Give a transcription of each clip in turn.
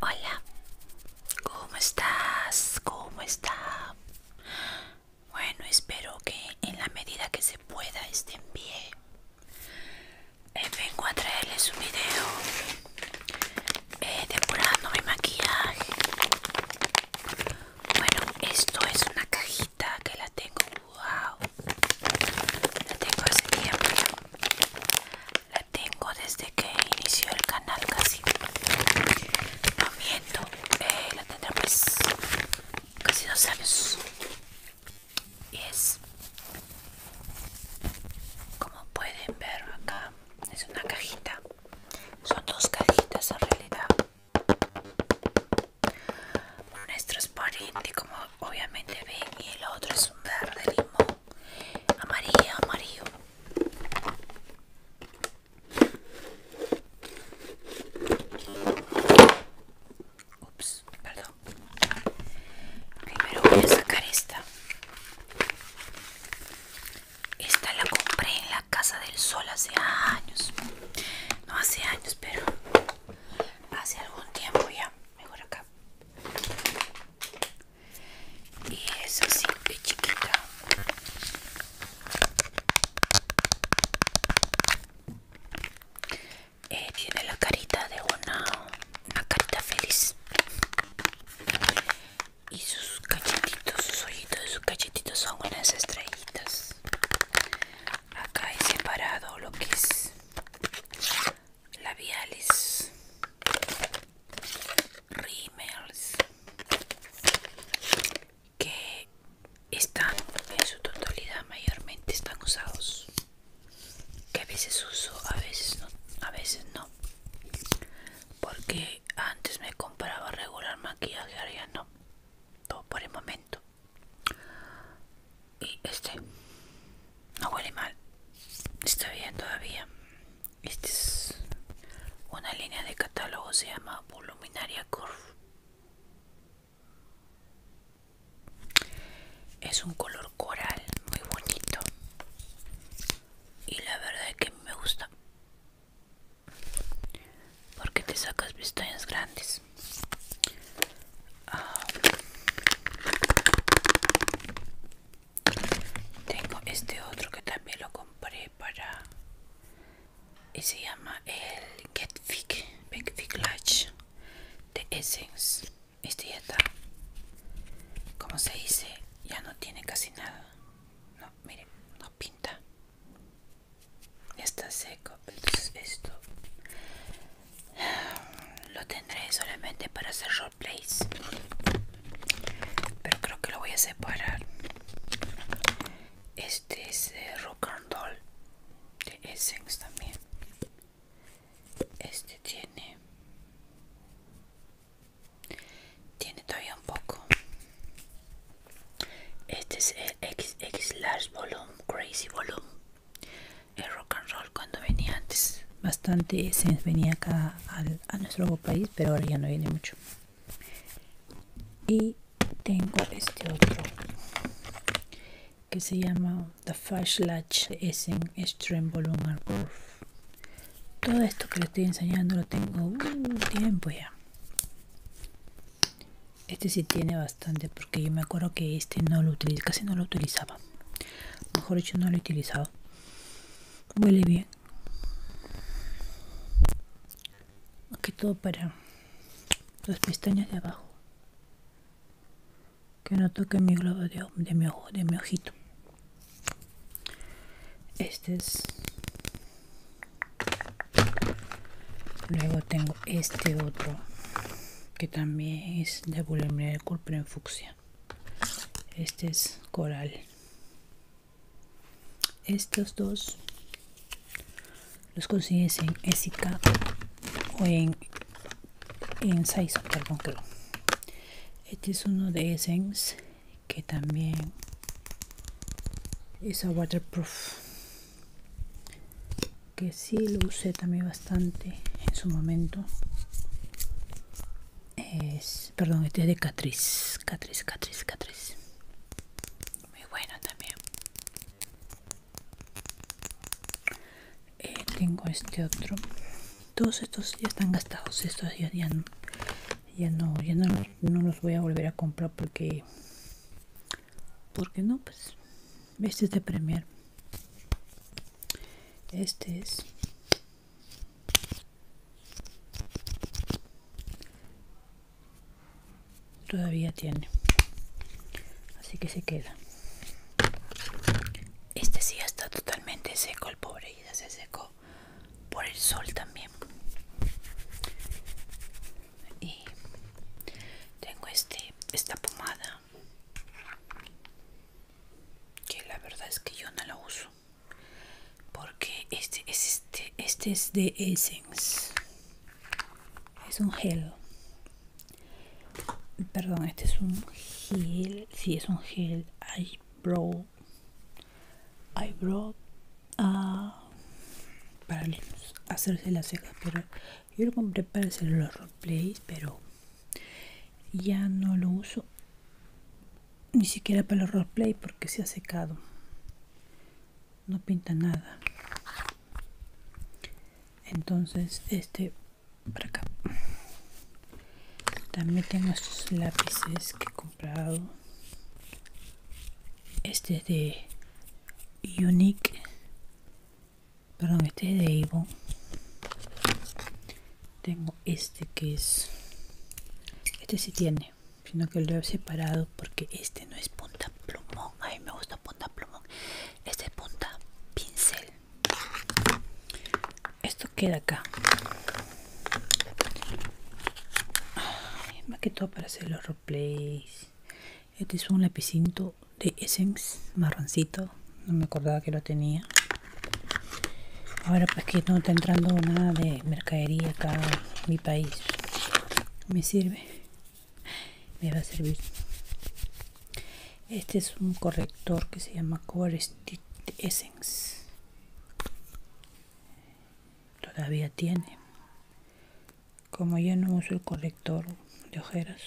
Hola, ¿cómo estás? ¿Cómo está? Bueno, espero que en la medida que se pueda estén bien. Eh, vengo a traerles un video eh, depurando mi maquillaje. Bueno, esto es una cajita que la tengo. ¡Wow! La tengo hace tiempo tengo desde que inició el canal casi no miento eh, la tendré pues, casi dos años y es como pueden ver acá es una cajita son dos cajitas en realidad nuestros es transparente como obviamente ven y el otro es un verde limón amarillo amarillo ups perdón primero voy a sacar esta esta la compré en la casa del sol hace años no hace años pero hace algún tiempo ya mejor acá. Y es así que chiquita. Eh, tiene la carita de una, una carita feliz. Y sus cachetitos, sus ojitos y sus cachetitos son unas estrellitas. Acá he separado lo que es labiales, rimers que están en su totalidad mayormente están usados que a veces uso a veces no a veces no porque antes me compraba regular maquillaje ahora ya no todo por el momento y este no huele mal está bien todavía este es una línea de catálogo se llama voluminaria curve es un color coral muy bonito y la verdad es que me gusta porque te sacas pestañas grandes Ah. tengo este otro que también lo compré para y se llama el Get Fig Big Fick Latch de Essence. Este ya está, como se dice, ya no tiene casi nada. No, miren, no pinta. está seco. Entonces esto lo tendré solamente para hacer roleplays pero creo que lo voy a separar este es de eh, rock and roll de essence también este tiene tiene todavía un poco este es el XX large volume crazy volume el rock and roll cuando venía antes bastante se venía acá al, a nuestro país pero ahora ya no viene mucho y tengo este otro que se llama The Latch, es en Extreme Volume Proof todo esto que le estoy enseñando lo tengo un tiempo ya este sí tiene bastante porque yo me acuerdo que este no lo utiliza casi no lo utilizaba. Mejor dicho, no lo he utilizado. Huele bien. Aquí todo para las pestañas de abajo. Que no toque mi globo de, de, mi ojo, de mi ojito. Este es. Luego tengo este otro que también es de volumen de color en fucsia este es coral estos dos los consigues en Esica o en en Saison, este es uno de Essence que también es a waterproof que sí lo usé también bastante en su momento es perdón este es de catriz catriz catriz catriz muy bueno también eh, tengo este otro todos estos ya están gastados estos ya, ya, no ya no, no los voy a volver a comprar porque porque no pues este es de premier este es todavía tiene así que se queda este sí está totalmente seco el pobre y ya se secó por el sol también y tengo este esta pomada que la verdad es que yo no la uso porque este es este este es de Essence es un gel perdón este es un gel si sí, es un gel eyebrow eyebrow ah, para hacerse las cejas pero yo lo compré para hacer los roleplays pero ya no lo uso ni siquiera para los roleplay porque se ha secado no pinta nada entonces este para acá también tengo estos lápices que he comprado este es de Unique. Perdón, este es de Evo Tengo este que es... Este sí tiene, sino que lo he separado porque este no es punta plumón. A mí me gusta punta plumón. Este es punta pincel. Esto queda acá. más que todo para hacer los roleplays este es un lapicinto de Essence marroncito no me acordaba que lo tenía ahora pues que no está entrando nada de mercadería acá en mi país me sirve me va a servir este es un corrector que se llama Core Essence todavía tiene como yo no uso el colector de ojeras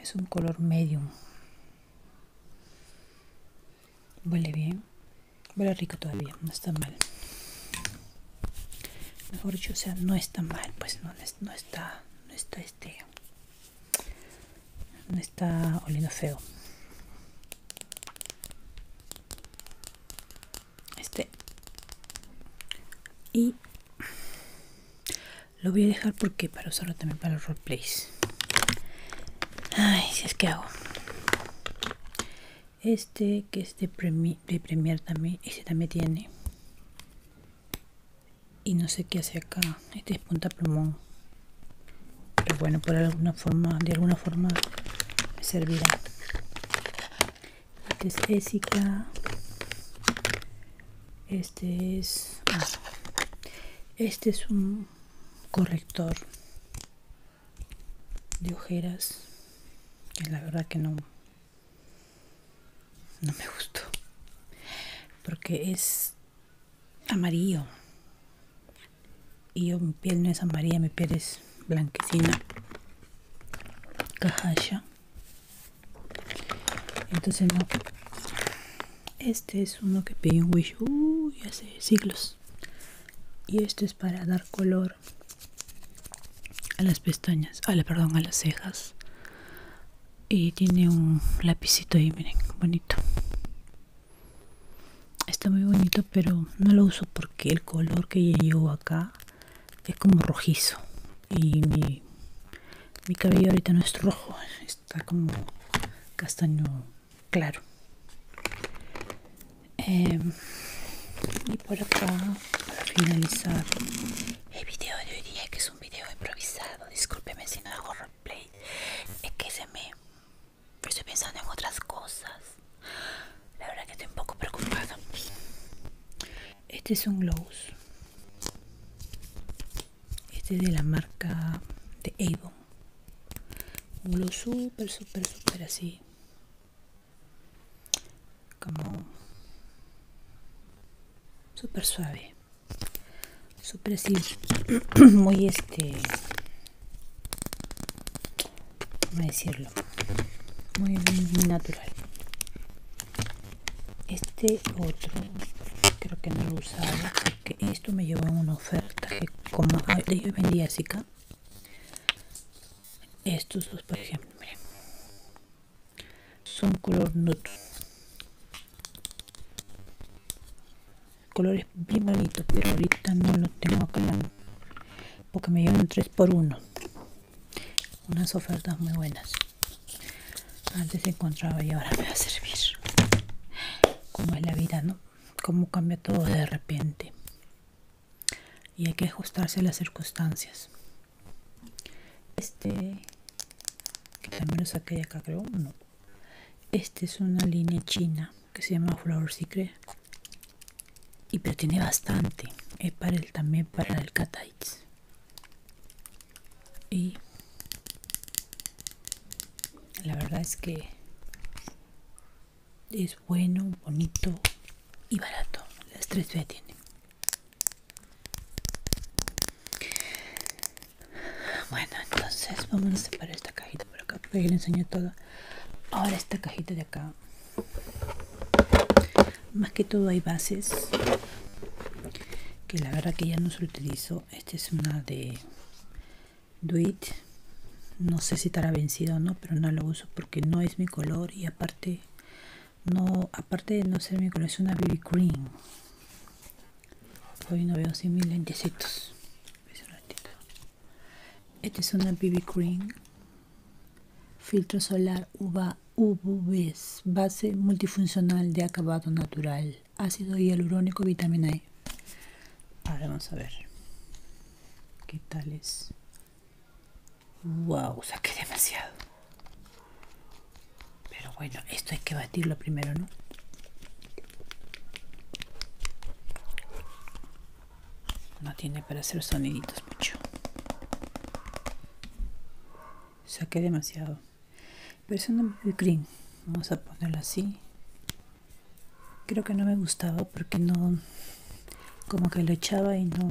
es un color medium huele bien huele rico todavía no está mal mejor dicho sea no está mal pues no, no está no está este no está olido feo este y lo voy a dejar porque para usarlo también para los roleplays si es que hago este que es de, premiar también este también tiene y no sé qué hace acá este es punta plumón pero bueno por alguna forma de alguna forma me servirá este es Esica este es este es un corrector de ojeras que la verdad que no no me gustó porque es amarillo y yo mi piel no es amarilla, mi piel es blanquecina, cajaya. Entonces Este es uno que pedí un Wish hace siglos. Y esto es para dar color a las pestañas, a la, perdón, a las cejas. Y tiene un lapicito ahí, miren, bonito está muy bonito pero no lo uso porque el color que llevo acá es como rojizo y mi, cabello ahorita no es rojo está como castaño claro em, y por acá para finalizar el video de hoy día que es un video improvisado discúlpeme si no hago roleplay es que se me pero estoy pensando en otras cosas. La verdad que estoy un poco preocupada. Este es un Glow Este es de la marca de Avon. Un Glow super súper, super así. Como... Súper suave. super así. Muy este... Como decirlo. Muy, natural. Este otro creo que no lo usaba porque esto me llevó a una oferta que como yo vendía que Estos dos, por ejemplo, Son color nude colores bien bonitos pero ahorita no lo tengo acá porque me llevan 3 por 1 unas ofertas muy buenas antes encontraba y ahora me va a servir como es la vida no como cambia todo de repente y hay que ajustarse a las circunstancias este que también lo saqué de acá creo no este es una línea china que se llama Flower Secret y pero tiene bastante es eh, para el también para el cat y la verdad es que es bueno bonito y barato las tres B tienen bueno entonces vamos a separar esta cajita acá le enseño todo ahora esta cajita de acá más que todo hay bases que la verdad que ya no se utilizo esta es una de dweet no sé si estará vencida o no pero no lo uso porque no es mi color y aparte no aparte de no ser mi color es una baby Cream hoy no veo 100 mil lentecitos este es una BB Cream. Filtro solar UVA, UV base multifuncional de acabado natural. Ácido hialurónico, vitamina E. Ahora vamos a ver. ¿Qué tal es? ¡Wow! Saqué demasiado. Pero bueno, esto hay que batirlo primero, ¿no? No tiene para hacer soniditos mucho. Saqué demasiado. Pero es un cream. Vamos a ponerlo así. Creo que no me gustaba porque no... Como que lo echaba y no...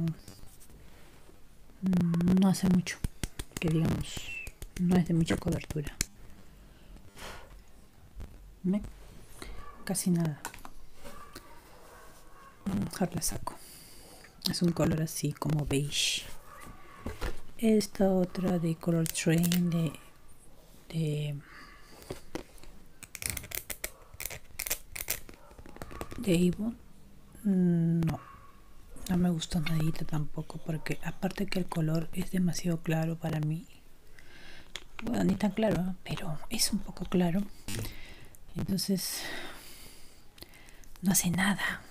Mm, no hace mucho. Que digamos, no es de mucha cobertura. Casi nada. Mejor la saco. Es un color así como beige. Esta otra de Color Train de, de de mm, no no me gusta nadita tampoco porque aparte que el color es demasiado claro para mí bueno, ni tan claro, pero es un poco claro. Entonces, no hace nada.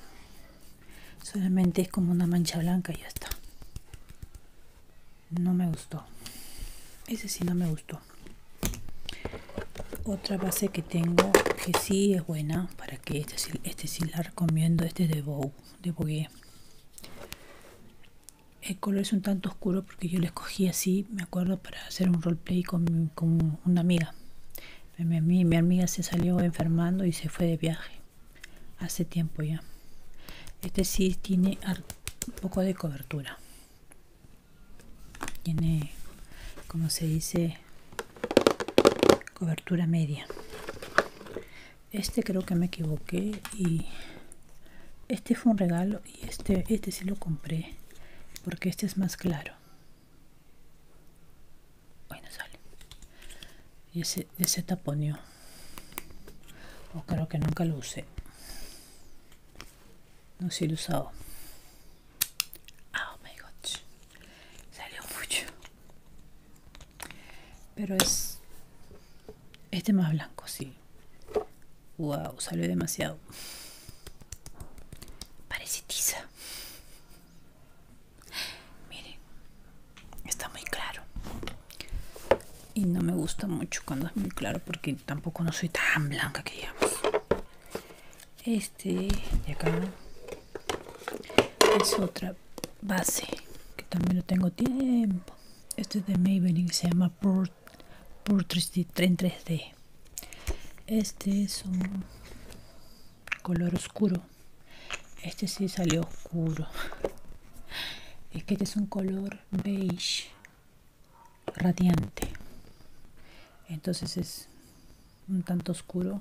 Solamente es como una mancha blanca y ya está. No me gustó. Ese sí no me gustó. Otra base que tengo que sí es buena, para que este, este sí la recomiendo, este es de Bow de Bogué. El color es un tanto oscuro porque yo lo escogí así, me acuerdo, para hacer un roleplay con, con una amiga. mi, amiga se salió enfermando y se fue de viaje hace tiempo ya. Este sí tiene un poco de cobertura. Tiene, como se dice, cobertura media este creo que me equivoqué y este fue un regalo y este este si lo compré porque este es más claro no sale y ese, ese taponio o creo que nunca lo usé no sé si lo he usado ah, oh my god salió mucho pero es este más blanco, sí. Wow, sale demasiado. Parece tiza. Miren, está muy claro. Y no me gusta mucho cuando es muy claro porque tampoco no soy tan blanca que digamos. Este de acá es otra base que también lo tengo tiempo este es de Maybelline se llama Port d este es un color oscuro este sí salió oscuro es que este es un color beige radiante entonces es un tanto oscuro